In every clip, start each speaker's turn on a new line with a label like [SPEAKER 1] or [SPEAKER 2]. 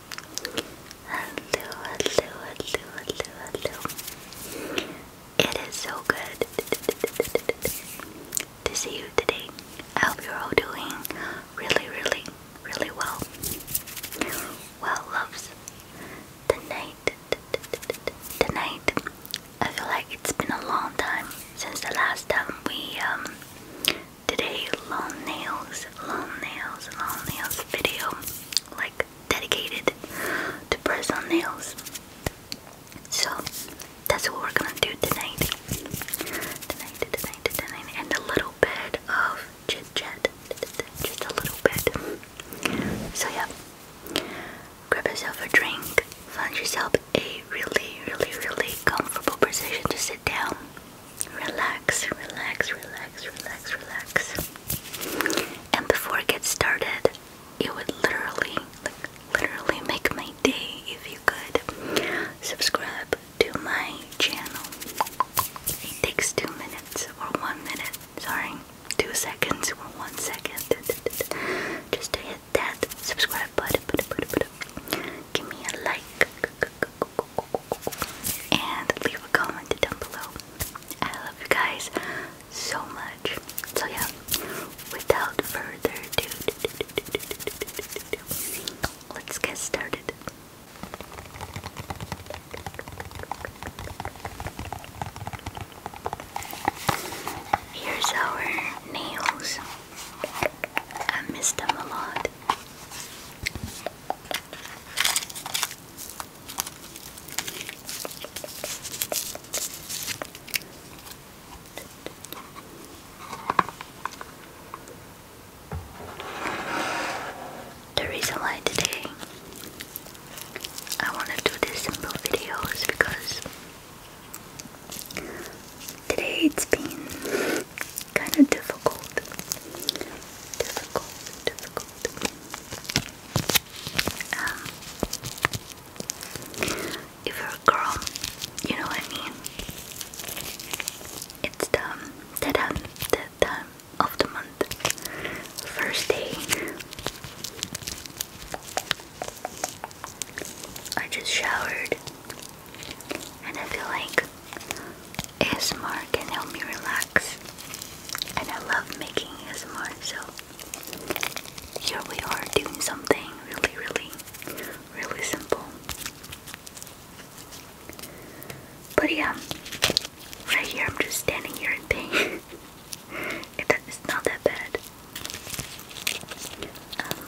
[SPEAKER 1] Hello, hello, hello, hello, hello. It is so good to see you today. I hope you're all doing really, really, really well. Well, loves, tonight, tonight, I feel like it's been a long time since the last time we um did a long nails, long nails, long nails video like dedicated to press on nails. So that's what we're gonna do tonight. and a little bit of chit Just a little bit. So yeah. Grab yourself a drink, find yourself a really, really, really comfortable position to sit down. Relax, relax, relax, relax, relax. And before I get started, it would literally, literally make my day if you could subscribe to my channel. It takes two minutes or one minute, sorry, two seconds or one second just to hit that subscribe button. Give me a like and leave a comment down below. I love you guys so much. So yeah, without further ado, let's get started. Here's our nails. I missed them a lot. The reason why today I want to do this simple video because today it's been kind of difficult. Difficult, difficult. Um, if you're a girl, you know what I mean? It's the, the, time, the time of the month. First day. I just showered and I feel like ASMR can help me relax, and I love making ASMR, so here we are doing something really, really, really simple. But yeah, right here I'm just standing here and paying. it's not that bad. Um,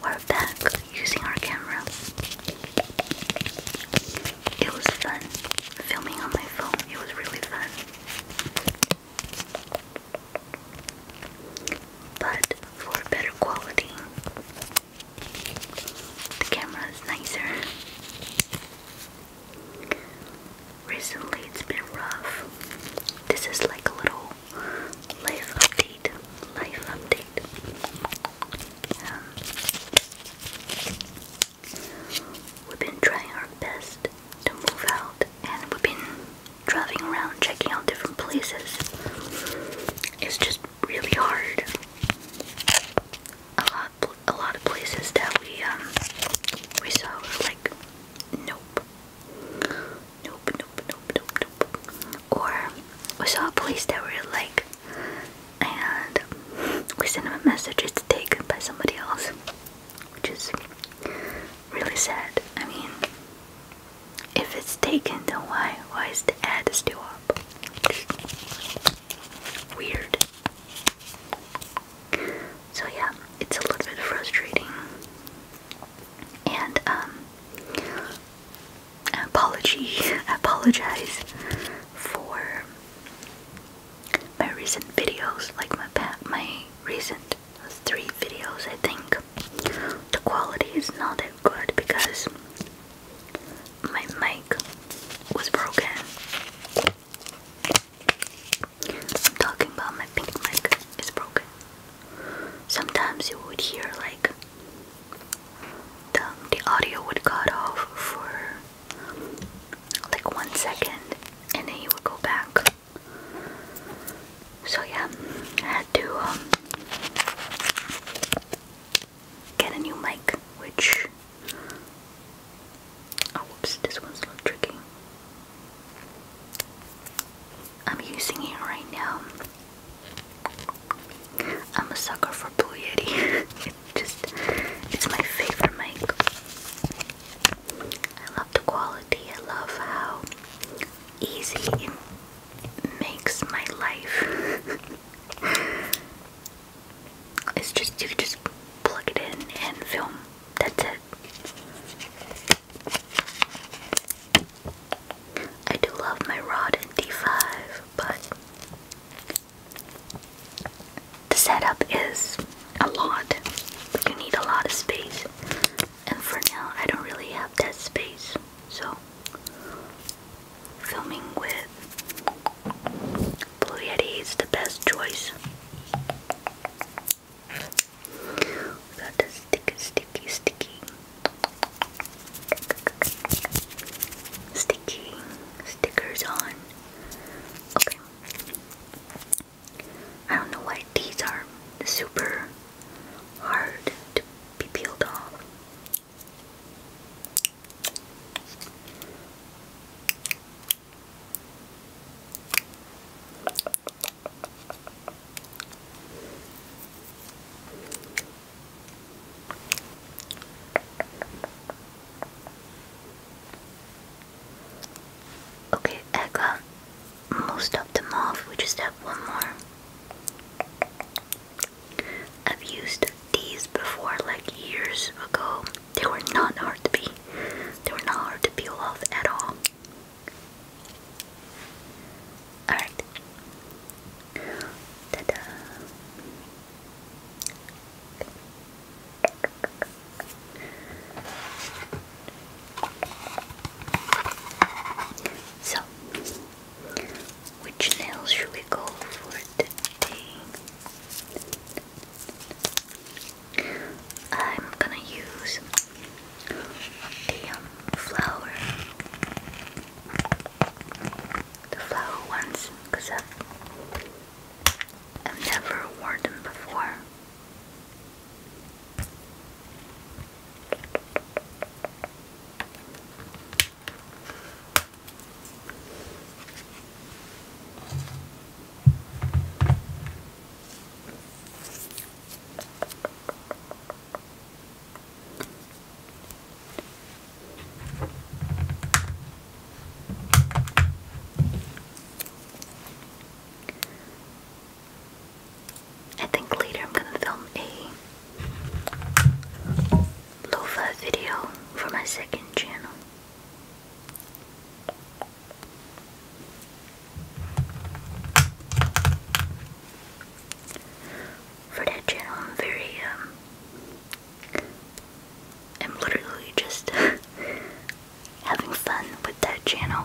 [SPEAKER 1] while back using our camera. It was fun. Filming on my phone, it was really fun. But for better quality, the camera is nicer. Recently, it's been rough. This is like a little life update life update. Um, we've been trying our best to move out, and we've been driving around, checking out different places. It's just really hard. A lot, a lot of places that we um, we saw were like, nope, nope, nope, nope, nope, or we saw a place that were like and we sent them a message it's taken by somebody else which is really sad i mean if it's taken then why why is the ad still up weird so yeah it's a little bit frustrating and um apology apologize for my recent videos, like my my recent three videos, I think the quality is not that good because my mic was broken. I'm talking about my pink mic is broken. Sometimes you would hear like um, the audio would cut off for like one second and then you would go back. So yeah, I had to um, get a new mic, which oh whoops, this one's a little tricky. I'm using it right now. I'm a sucker for Blue Yeti. it just it's my favorite mic. I love the quality. I love how easy it makes my life. it's just you just plug it in and film. That's it. I do love my rod in d5, but the setup is a lot. You need a lot of space, and for now, I don't really have that space, so filming with Blue Yeti is the best choice. got the sticky stick sticky, sticky, stickers on. Okay. I don't know why these are super hard to be peeled off. Okay, I most of them off. We just have one more. I've used these before, like years ago. They were not hard to be. They were not hard to peel off at all. Alright. So, which nails should we go for today? I'm gonna use the um, flower the flower ones, because I've, I've never worn them before. I think later I'm going to film a lofa video for my second channel for that channel. I'm very, um, I'm literally just having fun with that channel.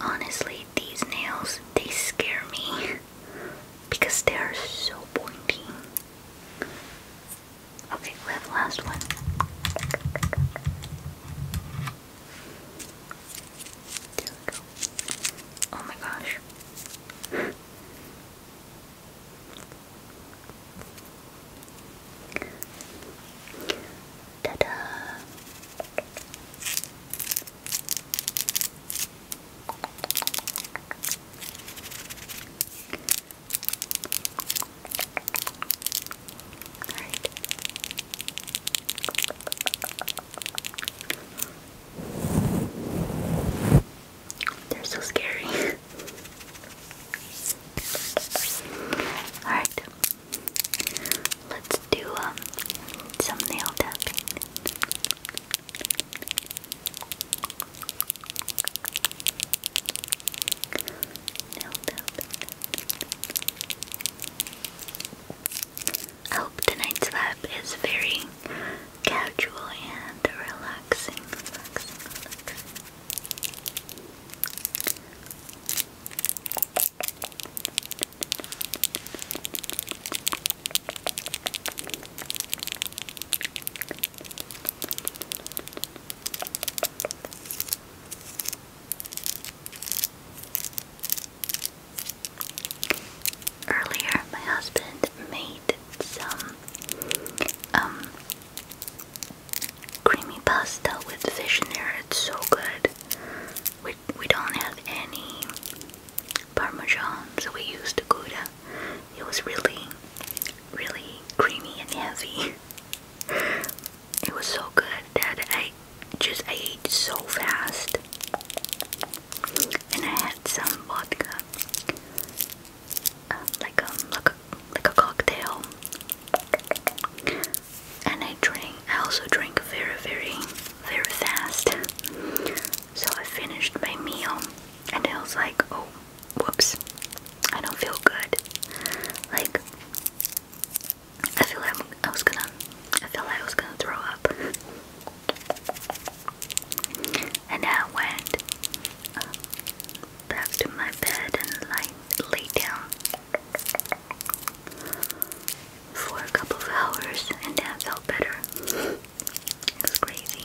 [SPEAKER 1] Honestly, these nails, they scare me because they are so pointy. Okay, we have last one. There we go. Oh my gosh. Ta-da! Alright. They're so scary. Alright, Let's do um, some nail tapping. I hope tonight's vibe is very casual and relaxing. Earlier, my husband made some um, creamy pasta with fish in there. It's so good we, we don't have any parmesan, so we used the gouda. It was really, really creamy and heavy. it was so good that I just ate so fast. And I had some vodka, um, um, like a like a cocktail and I drink I also drink very very very fast so I finished my meal and I was like oh whoops I don't feel good like I feel like I was gonna I feel like I was gonna throw up and I went uh, back to my bed and like lay down for a couple of hours and I felt better. It's crazy.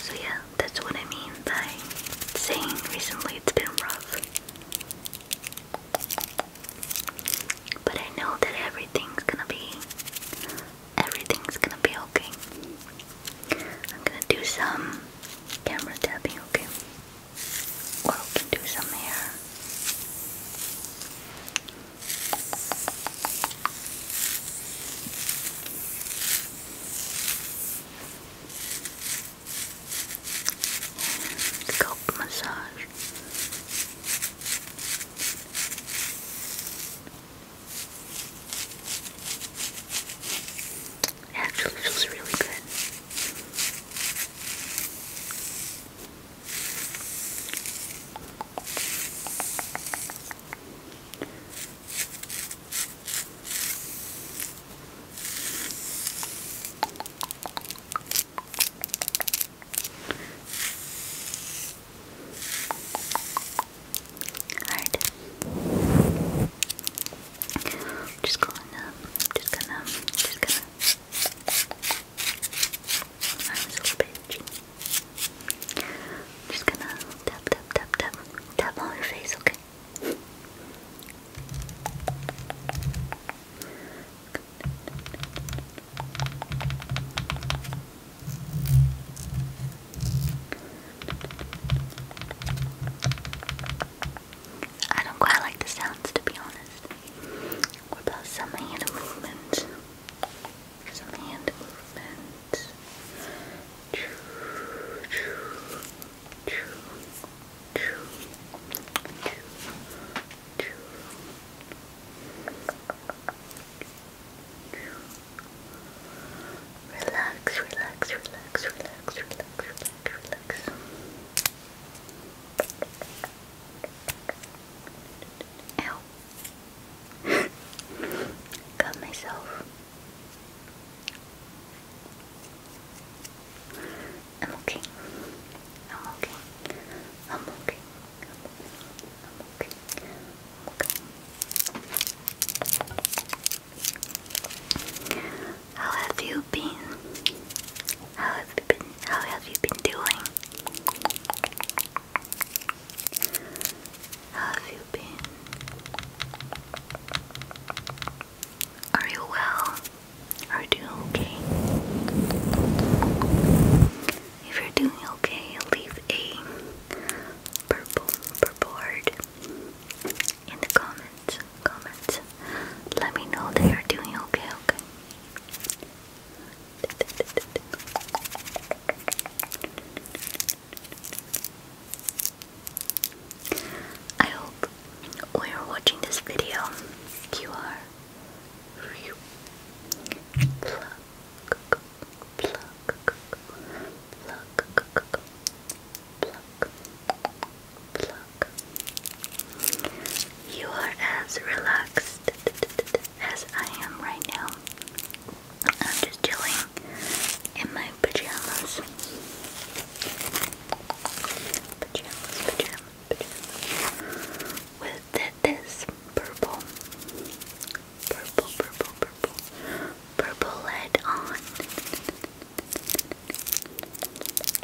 [SPEAKER 1] So yeah, that's what I mean by saying recently it's been rough. But I know that everything's gonna be everything's gonna be okay. I'm gonna do some camera tapping, okay? Or we can do some hair. Scalp massage. It actually feels really good. Alright. Just gonna, just gonna, just gonna I'm a little bit I'm just gonna tap, tap, tap, tap, tap on your face, okay? Good. Good. I don't quite like the sounds to be honest. about some hand movement? Some hand movement. Relax, relax, relax, relax, relax, relax, relax. Ow. Got myself. I'm okay. I'm okay. I'm okay. I'm okay. I'm okay. How have you been? How have you been? How have you been doing? How have you been? Are you well? Are you okay? If you're doing okay, leave a purple purple in the comments. Comments. Let me know that are doing okay, okay? I hope when are watching this video, you are pluck. You are as relaxed as I am right now. I'm just chilling in my pajamas. Pajamas, pajamas, pajamas. With this purple, purple, purple, purple, purple lid on.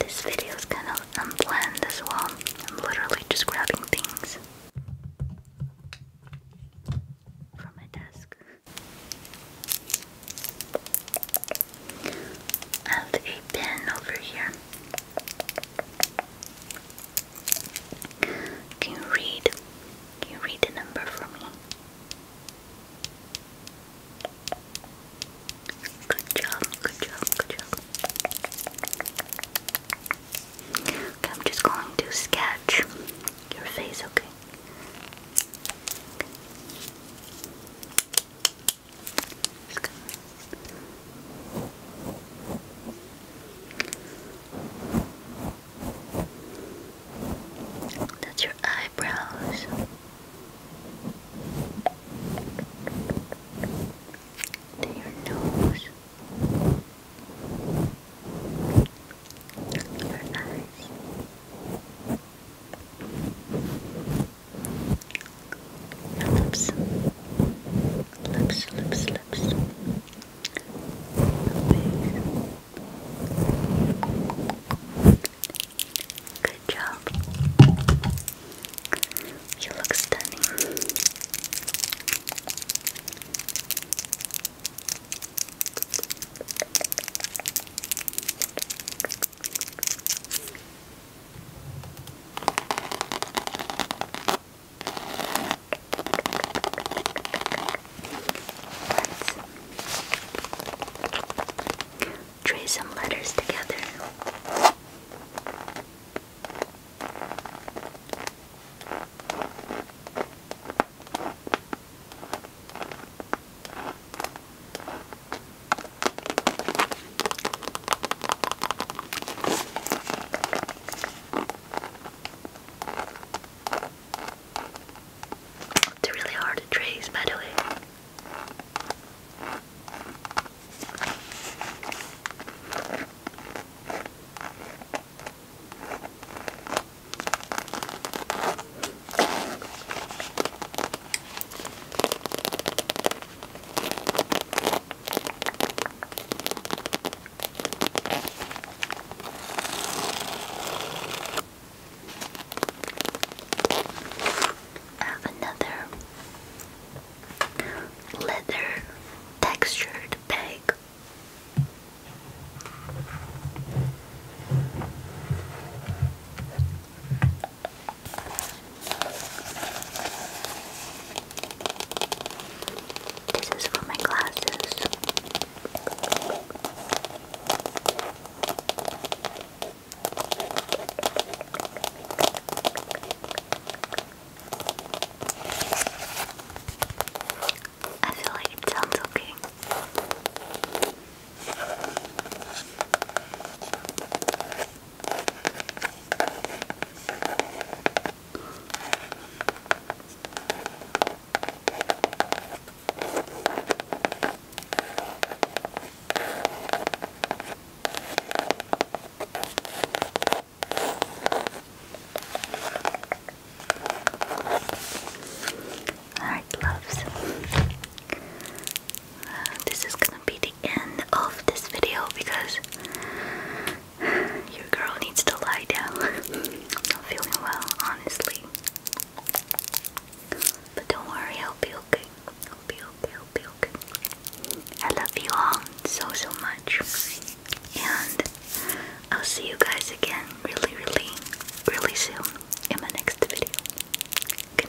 [SPEAKER 1] This video is kind of unplanned as well. I'm literally just grabbing things from my desk. I have a pen over here. Can you read? Can you read the number for me? Good job, good job, good job. I'm just going to sketch your face, okay. That's your eyebrows. To your nose. Your eyes lips. Lips, lips, lips. Good job. You look stunning. Let's trace some letters together. It's really hard trace, by the way. Uh, another leather textured bag. This is for my glasses. I feel like it sounds okay. Alright, loves. Uh, this is gonna be end of this video because your girl needs to lie down. Not feeling well, honestly. But don't worry, I'll be okay. I'll be okay, I'll be okay. I love you all so, so much. And I'll see you guys again really, really, really soon in my next video. Good